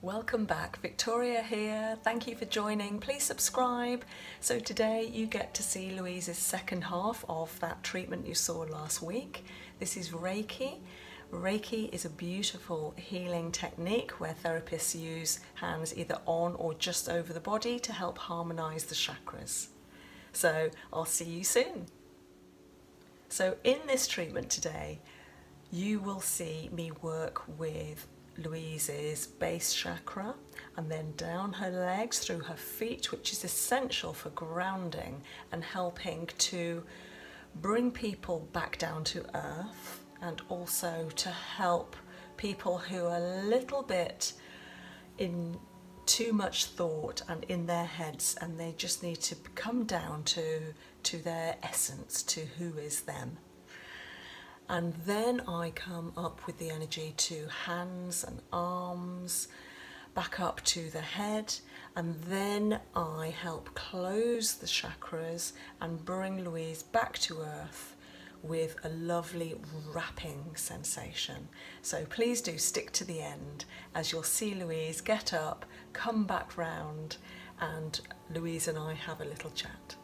Welcome back, Victoria here. Thank you for joining. Please subscribe. So, today you get to see Louise's second half of that treatment you saw last week. This is Reiki. Reiki is a beautiful healing technique where therapists use hands either on or just over the body to help harmonize the chakras. So, I'll see you soon. So in this treatment today, you will see me work with Louise's base chakra and then down her legs through her feet, which is essential for grounding and helping to bring people back down to earth and also to help people who are a little bit in too much thought and in their heads and they just need to come down to to their essence, to who is them. And then I come up with the energy to hands and arms, back up to the head, and then I help close the chakras and bring Louise back to earth with a lovely wrapping sensation. So please do stick to the end as you'll see Louise get up, come back round and Louise and I have a little chat.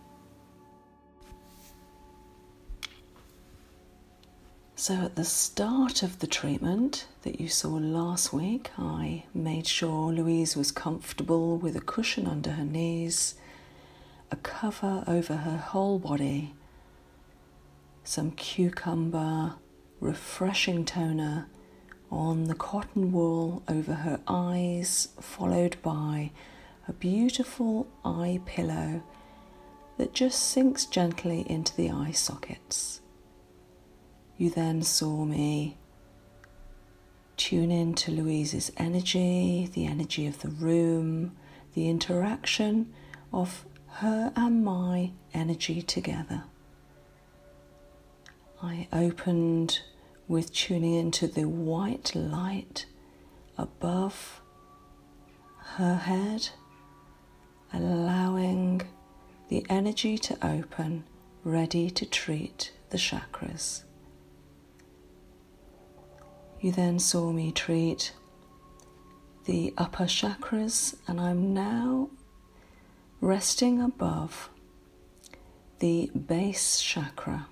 So, at the start of the treatment that you saw last week, I made sure Louise was comfortable with a cushion under her knees, a cover over her whole body, some cucumber, refreshing toner, on the cotton wool over her eyes, followed by a beautiful eye pillow that just sinks gently into the eye sockets. You then saw me tune in to Louise's energy, the energy of the room, the interaction of her and my energy together. I opened with tuning into the white light above her head, allowing the energy to open, ready to treat the chakras. You then saw me treat the upper chakras, and I'm now resting above the base chakra.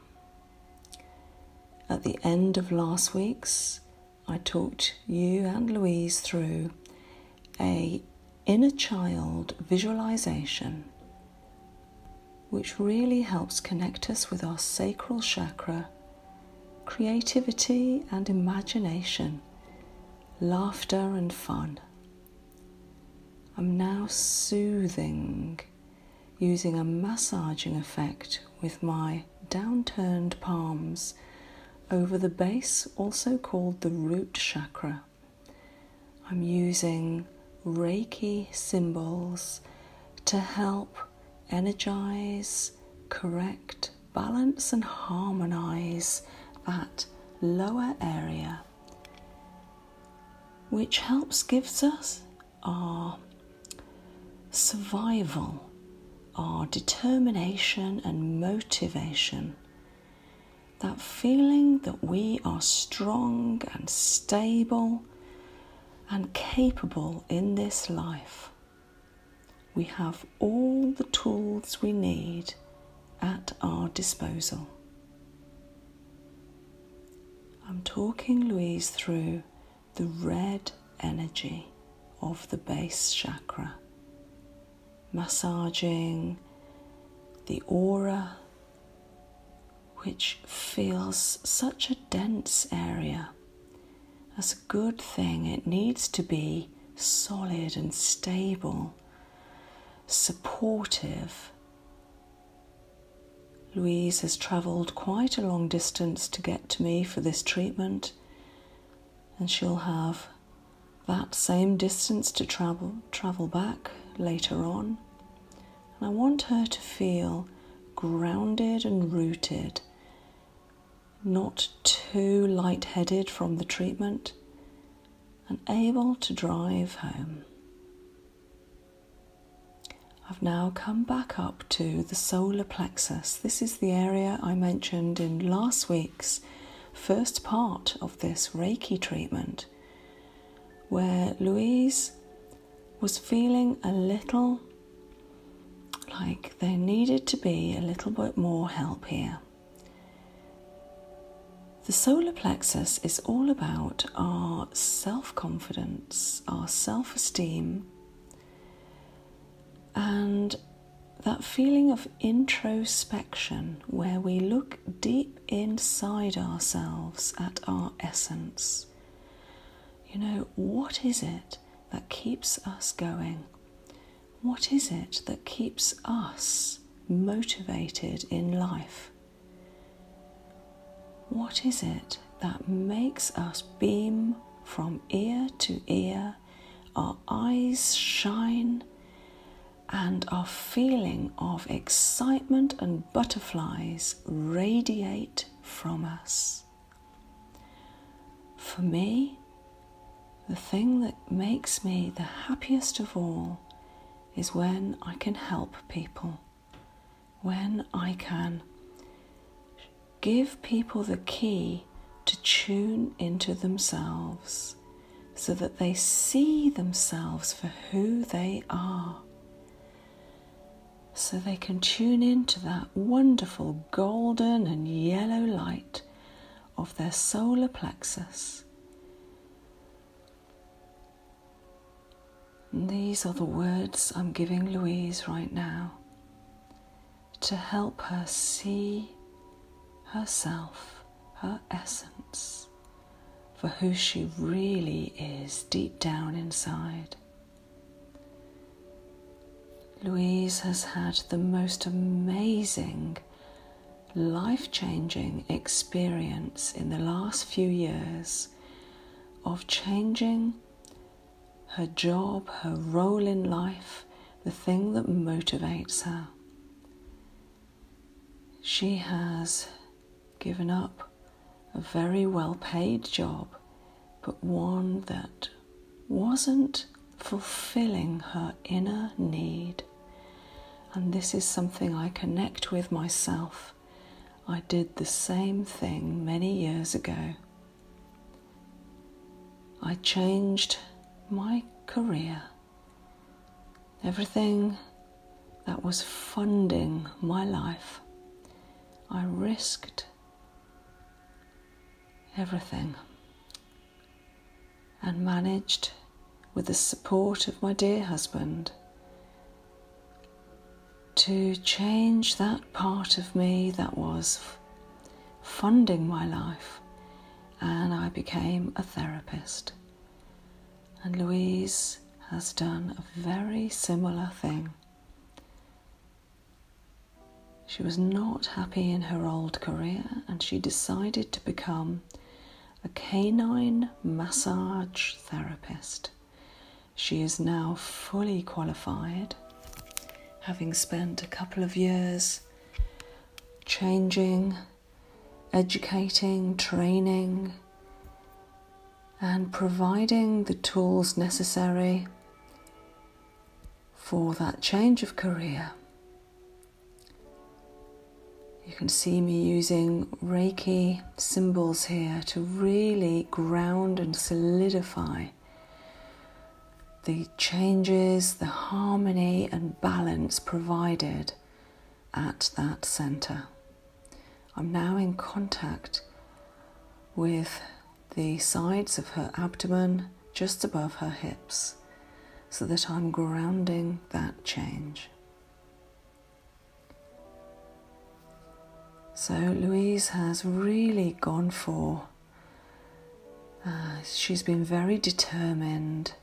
At the end of last week's, I talked you and Louise through a inner child visualization which really helps connect us with our sacral chakra, creativity and imagination, laughter and fun. I'm now soothing using a massaging effect with my downturned palms over the base, also called the root chakra. I'm using Reiki symbols to help energize, correct, balance, and harmonize that lower area which helps gives us our survival, our determination and motivation. That feeling that we are strong and stable and capable in this life. We have all the tools we need at our disposal. I'm talking Louise through the red energy of the base chakra, massaging the aura, which feels such a dense area. That's a good thing, it needs to be solid and stable, supportive Louise has travelled quite a long distance to get to me for this treatment, and she'll have that same distance to travel travel back later on. And I want her to feel grounded and rooted, not too light-headed from the treatment, and able to drive home. I've now come back up to the solar plexus. This is the area I mentioned in last week's first part of this Reiki treatment, where Louise was feeling a little like there needed to be a little bit more help here. The solar plexus is all about our self confidence, our self esteem, and that feeling of introspection where we look deep inside ourselves at our essence. You know, what is it that keeps us going? What is it that keeps us motivated in life? What is it that makes us beam from ear to ear, our eyes shine, and our feeling of excitement and butterflies radiate from us? For me, the thing that makes me the happiest of all is when I can help people when I can give people the key to tune into themselves so that they see themselves for who they are. So they can tune into that wonderful golden and yellow light of their solar plexus and these are the words I'm giving Louise right now to help her see herself, her essence, for who she really is deep down inside. Louise has had the most amazing, life changing experience in the last few years of changing her job, her role in life, the thing that motivates her. She has given up a very well paid job, but one that wasn't fulfilling her inner need. And this is something I connect with myself I did the same thing many years ago. I changed my career. Everything that was funding my life, I risked everything and managed, with the support of my dear husband, to change that part of me that was funding my life, and I became a therapist. And Louise has done a very similar thing. She was not happy in her old career and she decided to become a canine massage therapist. She is now fully qualified, having spent a couple of years changing, educating, training, and providing the tools necessary for that change of career. You can see me using Reiki symbols here to really ground and solidify the changes, the harmony and balance provided at that center. I'm now in contact with the sides of her abdomen just above her hips so that I'm grounding that change. So Louise has really gone for. Uh, she's been very determined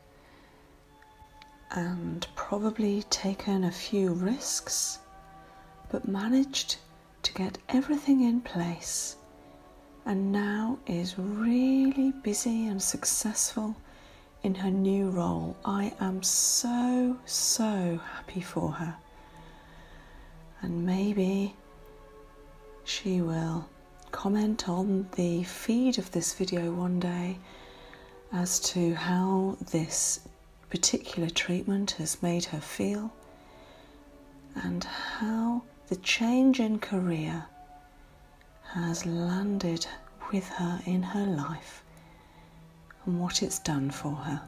and probably taken a few risks, but managed to get everything in place and now is really busy and successful in her new role. I am so, so happy for her. And maybe she will comment on the feed of this video one day as to how this particular treatment has made her feel and how the change in career has landed with her in her life and what it's done for her.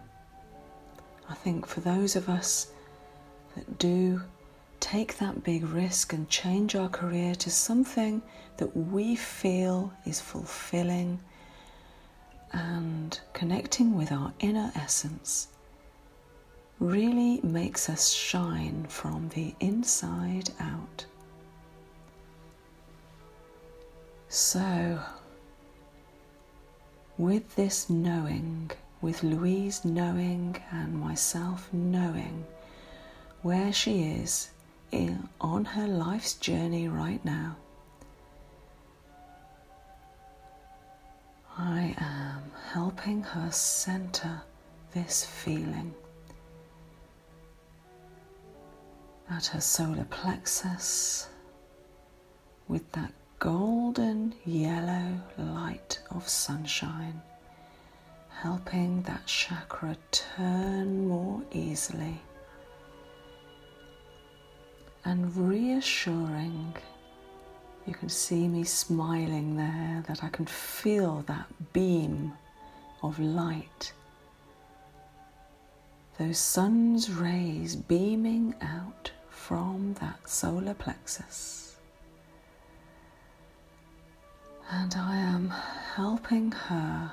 I think for those of us that do take that big risk and change our career to something that we feel is fulfilling and connecting with our inner essence really makes us shine from the inside out. So, with this knowing, with Louise knowing and myself knowing where she is on her life's journey right now, I am helping her center this feeling at her solar plexus with that golden yellow light of sunshine, helping that chakra turn more easily and reassuring. You can see me smiling there, that I can feel that beam of light those sun's rays beaming out from that solar plexus. And I am helping her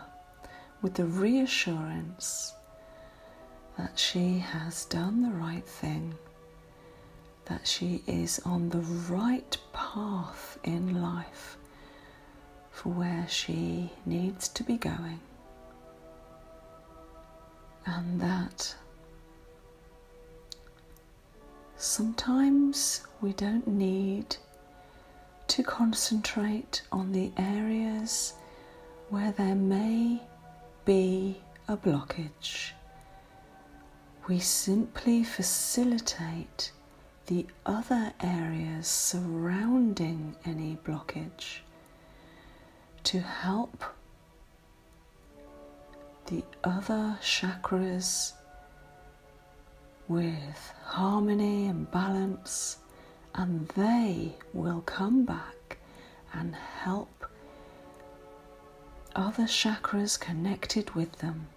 with the reassurance that she has done the right thing, that she is on the right path in life for where she needs to be going and that sometimes we don't need to concentrate on the areas where there may be a blockage. We simply facilitate the other areas surrounding any blockage to help the other chakras with harmony and balance, and they will come back and help other chakras connected with them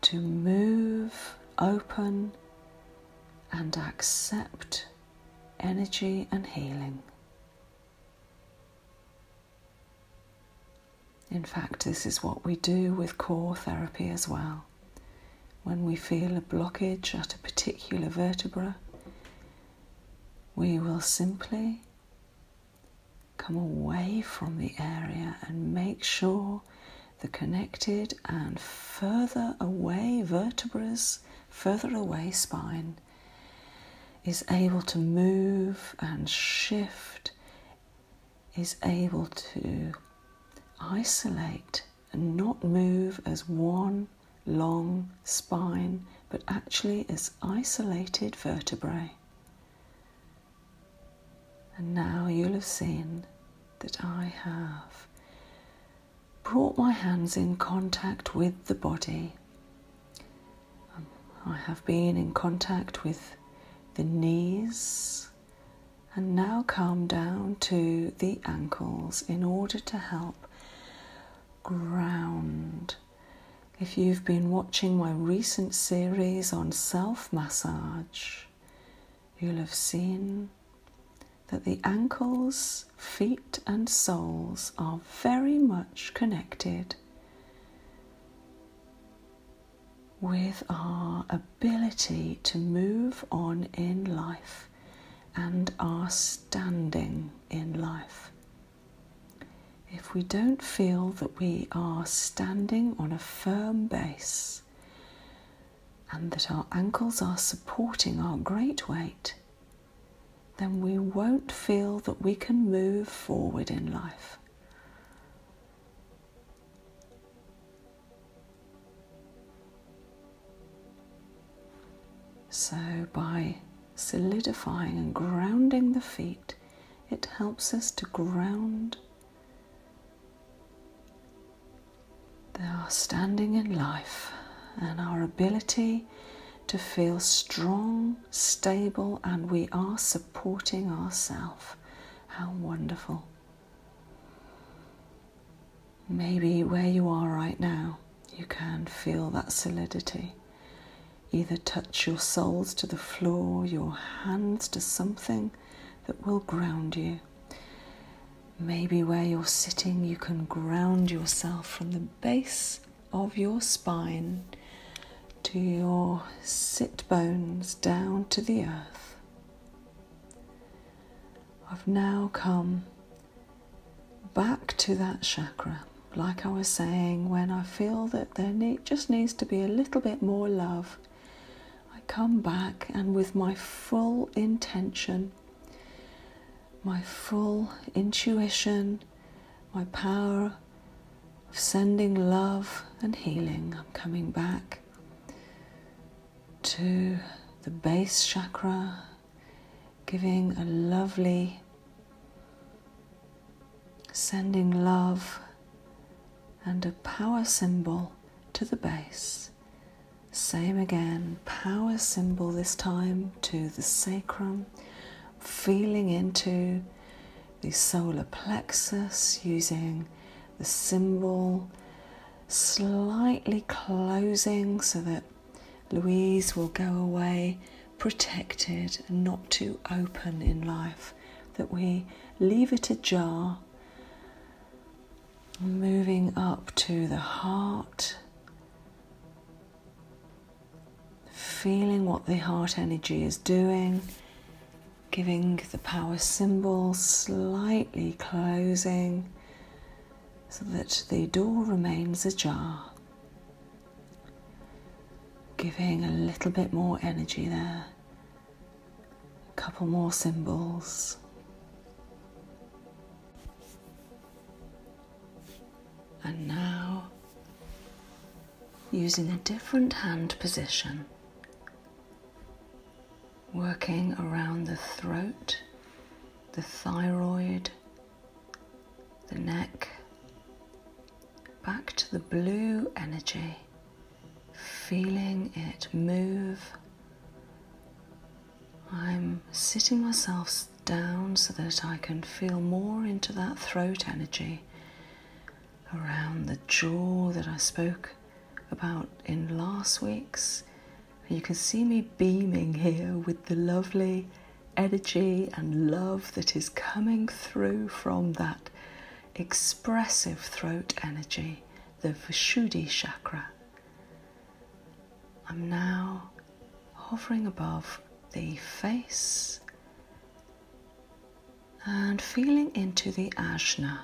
to move open and accept energy and healing. In fact, this is what we do with core therapy as well. When we feel a blockage at a particular vertebra, we will simply come away from the area and make sure the connected and further away vertebrae further away spine is able to move and shift, is able to isolate and not move as one long spine, but actually as isolated vertebrae. And now you'll have seen that I have brought my hands in contact with the body. Um, I have been in contact with the knees and now come down to the ankles in order to help ground. If you've been watching my recent series on self massage, you'll have seen that the ankles, feet, and soles are very much connected with our ability to move on in life and our standing in life. If we don't feel that we are standing on a firm base and that our ankles are supporting our great weight, then we won't feel that we can move forward in life. So, by solidifying and grounding the feet, it helps us to ground are standing in life and our ability to feel strong, stable, and we are supporting ourselves. How wonderful. Maybe where you are right now, you can feel that solidity. Either touch your soles to the floor, your hands to something that will ground you. Maybe where you're sitting, you can ground yourself from the base of your spine to your sit bones down to the earth. I've now come back to that chakra. Like I was saying, when I feel that there just needs to be a little bit more love, I come back and with my full intention my full intuition, my power of sending love and healing. I'm coming back to the base chakra, giving a lovely sending love and a power symbol to the base same again, power symbol this time to the sacrum, feeling into the solar plexus using the symbol, slightly closing so that Louise will go away protected and not too open in life, that we leave it ajar. Moving up to the heart, Feeling what the heart energy is doing, giving the power symbol slightly closing so that the door remains ajar. Giving a little bit more energy there, a couple more symbols. And now, using a different hand position, working around the throat, the thyroid, the neck, back to the blue energy, feeling it move I'm sitting myself down so that I can feel more into that throat energy around the jaw that I spoke about in last week's. You can see me beaming here with the lovely energy and love that is coming through from that expressive throat energy, the Vishuddhi chakra. I'm now hovering above the face and feeling into the ajna,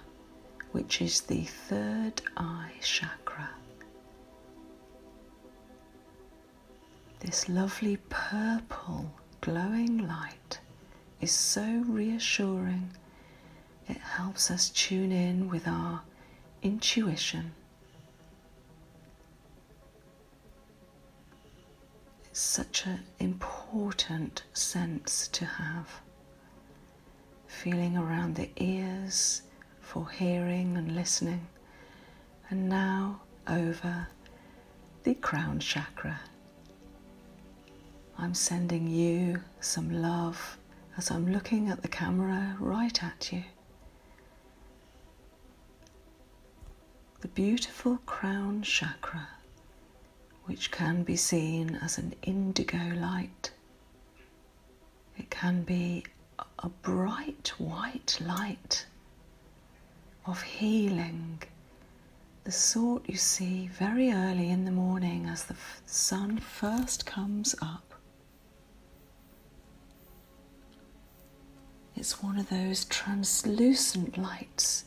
which is the third eye chakra. This lovely purple glowing light is so reassuring. It helps us tune in with our intuition it's such an important sense to have. Feeling around the ears for hearing and listening, and now over the crown chakra. I'm sending you some love as I'm looking at the camera right at you. The beautiful crown chakra, which can be seen as an indigo light, it can be a bright white light of healing, the sort you see very early in the morning as the sun first comes up. It's one of those translucent lights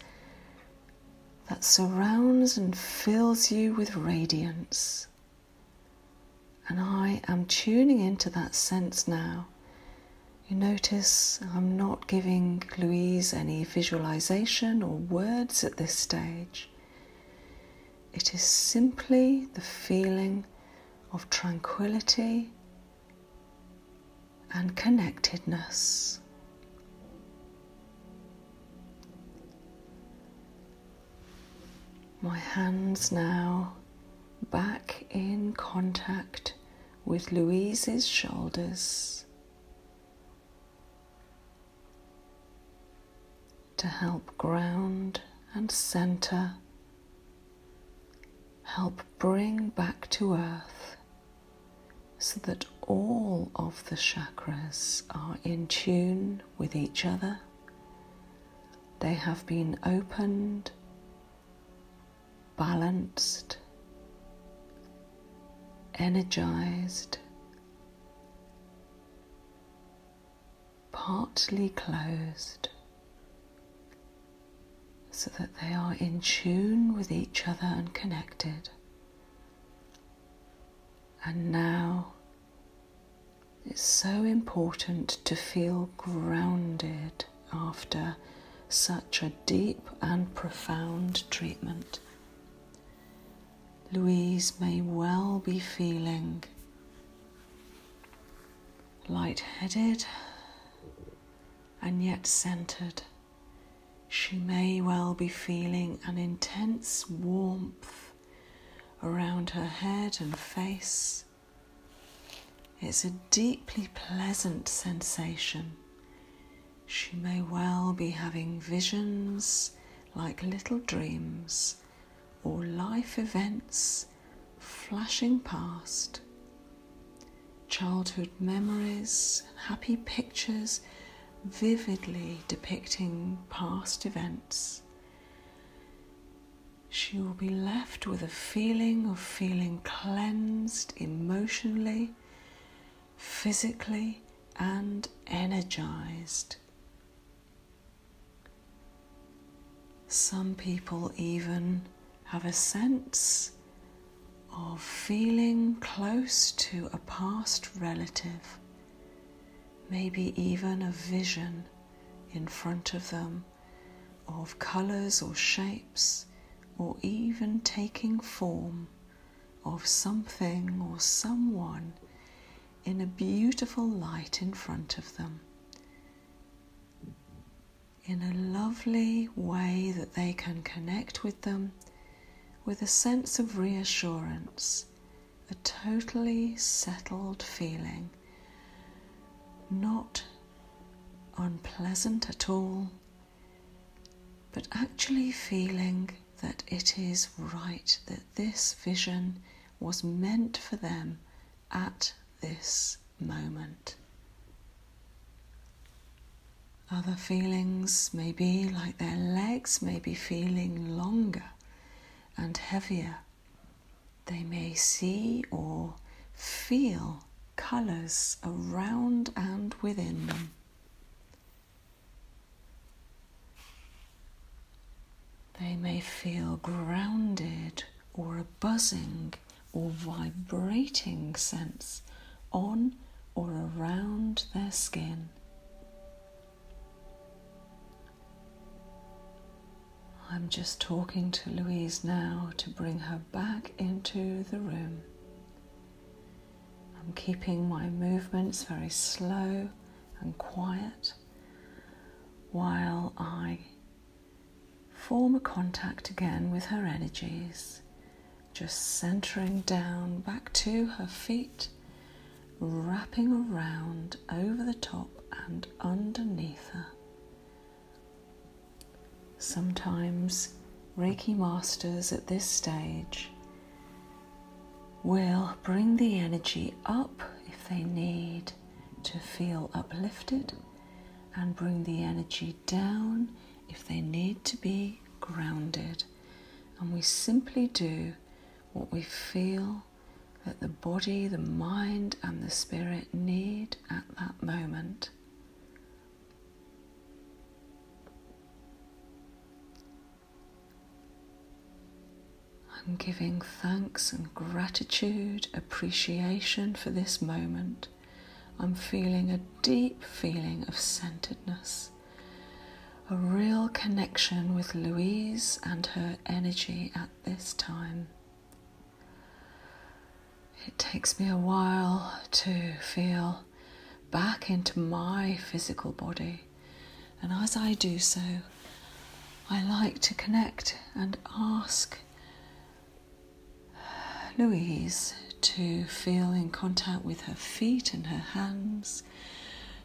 that surrounds and fills you with radiance. And I am tuning into that sense now. You notice I'm not giving Louise any visualization or words at this stage. It is simply the feeling of tranquility and connectedness. My hands now back in contact with Louise's shoulders to help ground and center help bring back to earth so that all of the chakras are in tune with each other. They have been opened, balanced, energized, partly closed so that they are in tune with each other and connected. And now it's so important to feel grounded after such a deep and profound treatment. Louise may well be feeling light-headed and yet centered. She may well be feeling an intense warmth around her head and face. It's a deeply pleasant sensation. She may well be having visions like little dreams or life events flashing past. Childhood memories, happy pictures vividly depicting past events. She will be left with a feeling of feeling cleansed emotionally, physically, and energized. Some people even have a sense of feeling close to a past relative, maybe even a vision in front of them of colours or shapes, or even taking form of something or someone in a beautiful light in front of them in a lovely way that they can connect with them with a sense of reassurance, a totally settled feeling, not unpleasant at all, but actually feeling that it is right that this vision was meant for them at this moment. Other feelings may be like their legs may be feeling longer and heavier. They may see or feel colours around and within them. They may feel grounded or a buzzing or vibrating sense on or around their skin. I'm just talking to Louise now to bring her back into the room. I'm keeping my movements very slow and quiet while I Form a contact again with her energies, just centering down back to her feet, wrapping around over the top and underneath her. Sometimes Reiki masters at this stage will bring the energy up if they need to feel uplifted and bring the energy down if they need to be grounded. And we simply do what we feel that the body, the mind, and the spirit need at that moment. I'm giving thanks and gratitude, appreciation for this moment. I'm feeling a deep feeling of centeredness, a real connection with Louise and her energy at this time. It takes me a while to feel back into my physical body, and as I do so, I like to connect and ask Louise to feel in contact with her feet and her hands,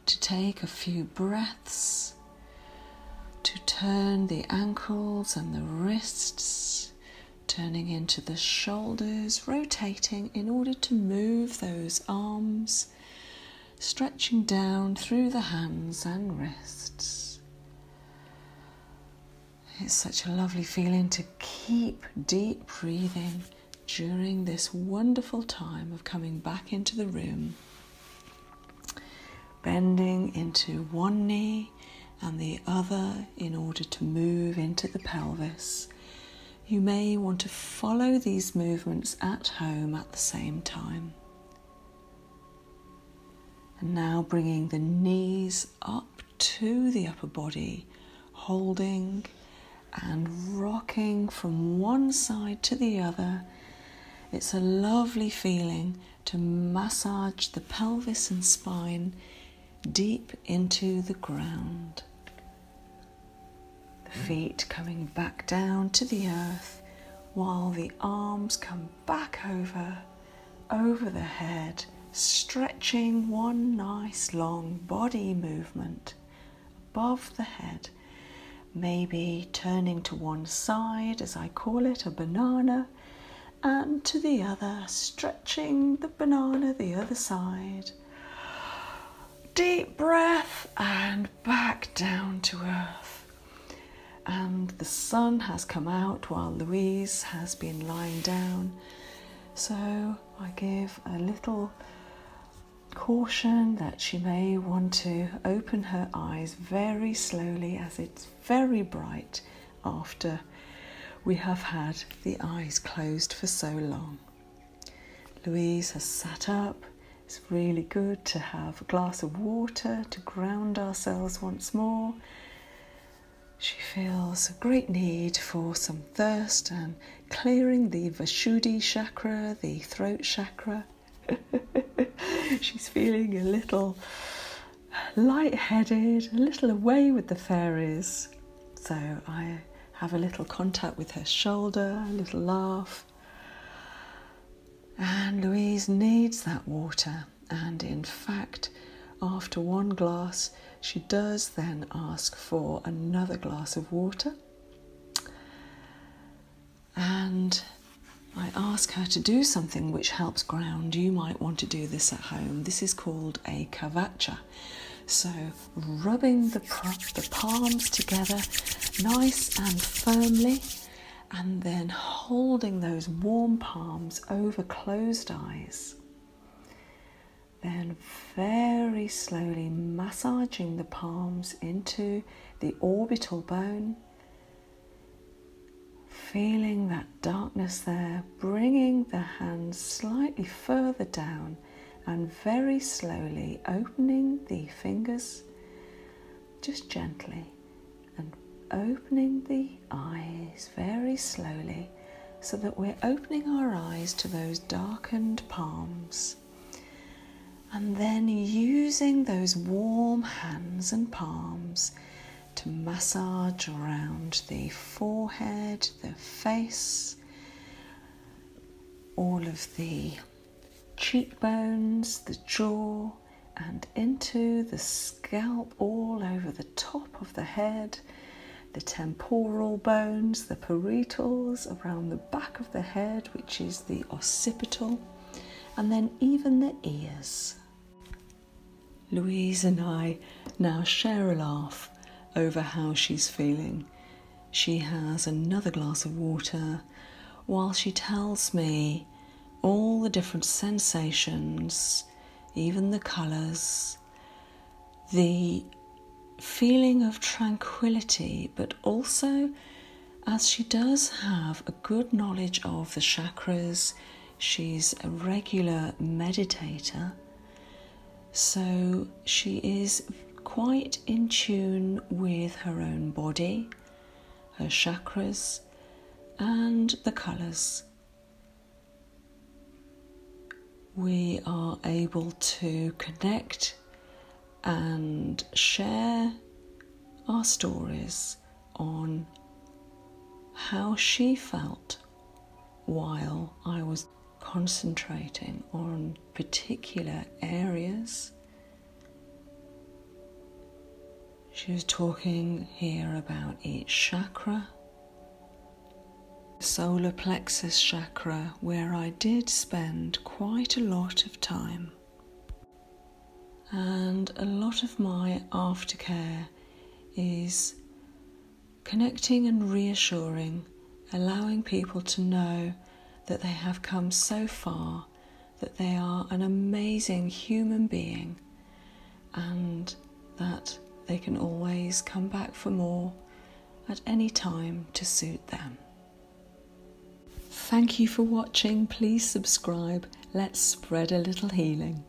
to take a few breaths, to turn the ankles and the wrists, turning into the shoulders, rotating in order to move those arms, stretching down through the hands and wrists. It's such a lovely feeling to keep deep breathing during this wonderful time of coming back into the room, bending into one knee and the other in order to move into the pelvis. You may want to follow these movements at home at the same time. And now bringing the knees up to the upper body, holding and rocking from one side to the other. It's a lovely feeling to massage the pelvis and spine deep into the ground. The feet coming back down to the earth while the arms come back over, over the head, stretching one nice long body movement above the head. Maybe turning to one side, as I call it, a banana, and to the other, stretching the banana the other side. Deep breath and back down to earth. And the sun has come out while Louise has been lying down. So I give a little caution that she may want to open her eyes very slowly as it's very bright after we have had the eyes closed for so long. Louise has sat up. It's really good to have a glass of water to ground ourselves once more. She feels a great need for some thirst and clearing the Vasudhi chakra, the throat chakra. She's feeling a little light-headed, a little away with the fairies. So I have a little contact with her shoulder, a little laugh. And Louise needs that water and in fact, after one glass, she does then ask for another glass of water. And I ask her to do something which helps ground. You might want to do this at home. This is called a kavacha. So, rubbing the palms together nice and firmly, and then holding those warm palms over closed eyes. Then, very slowly massaging the palms into the orbital bone, feeling that darkness there, bringing the hands slightly further down and very slowly opening the fingers just gently and opening the eyes very slowly so that we're opening our eyes to those darkened palms. And then using those warm hands and palms to massage around the forehead, the face, all of the cheekbones, the jaw, and into the scalp, all over the top of the head, the temporal bones, the parietals, around the back of the head, which is the occipital, and then even the ears. Louise and I now share a laugh over how she's feeling. She has another glass of water while she tells me all the different sensations, even the colours, the feeling of tranquility, but also as she does have a good knowledge of the chakras, she's a regular meditator, so she is quite in tune with her own body, her chakras, and the colours we are able to connect and share our stories on how she felt while I was concentrating on particular areas. She was talking here about each chakra solar plexus chakra, where I did spend quite a lot of time. And a lot of my aftercare is connecting and reassuring, allowing people to know that they have come so far, that they are an amazing human being and that they can always come back for more at any time to suit them. Thank you for watching. Please subscribe. Let's spread a little healing.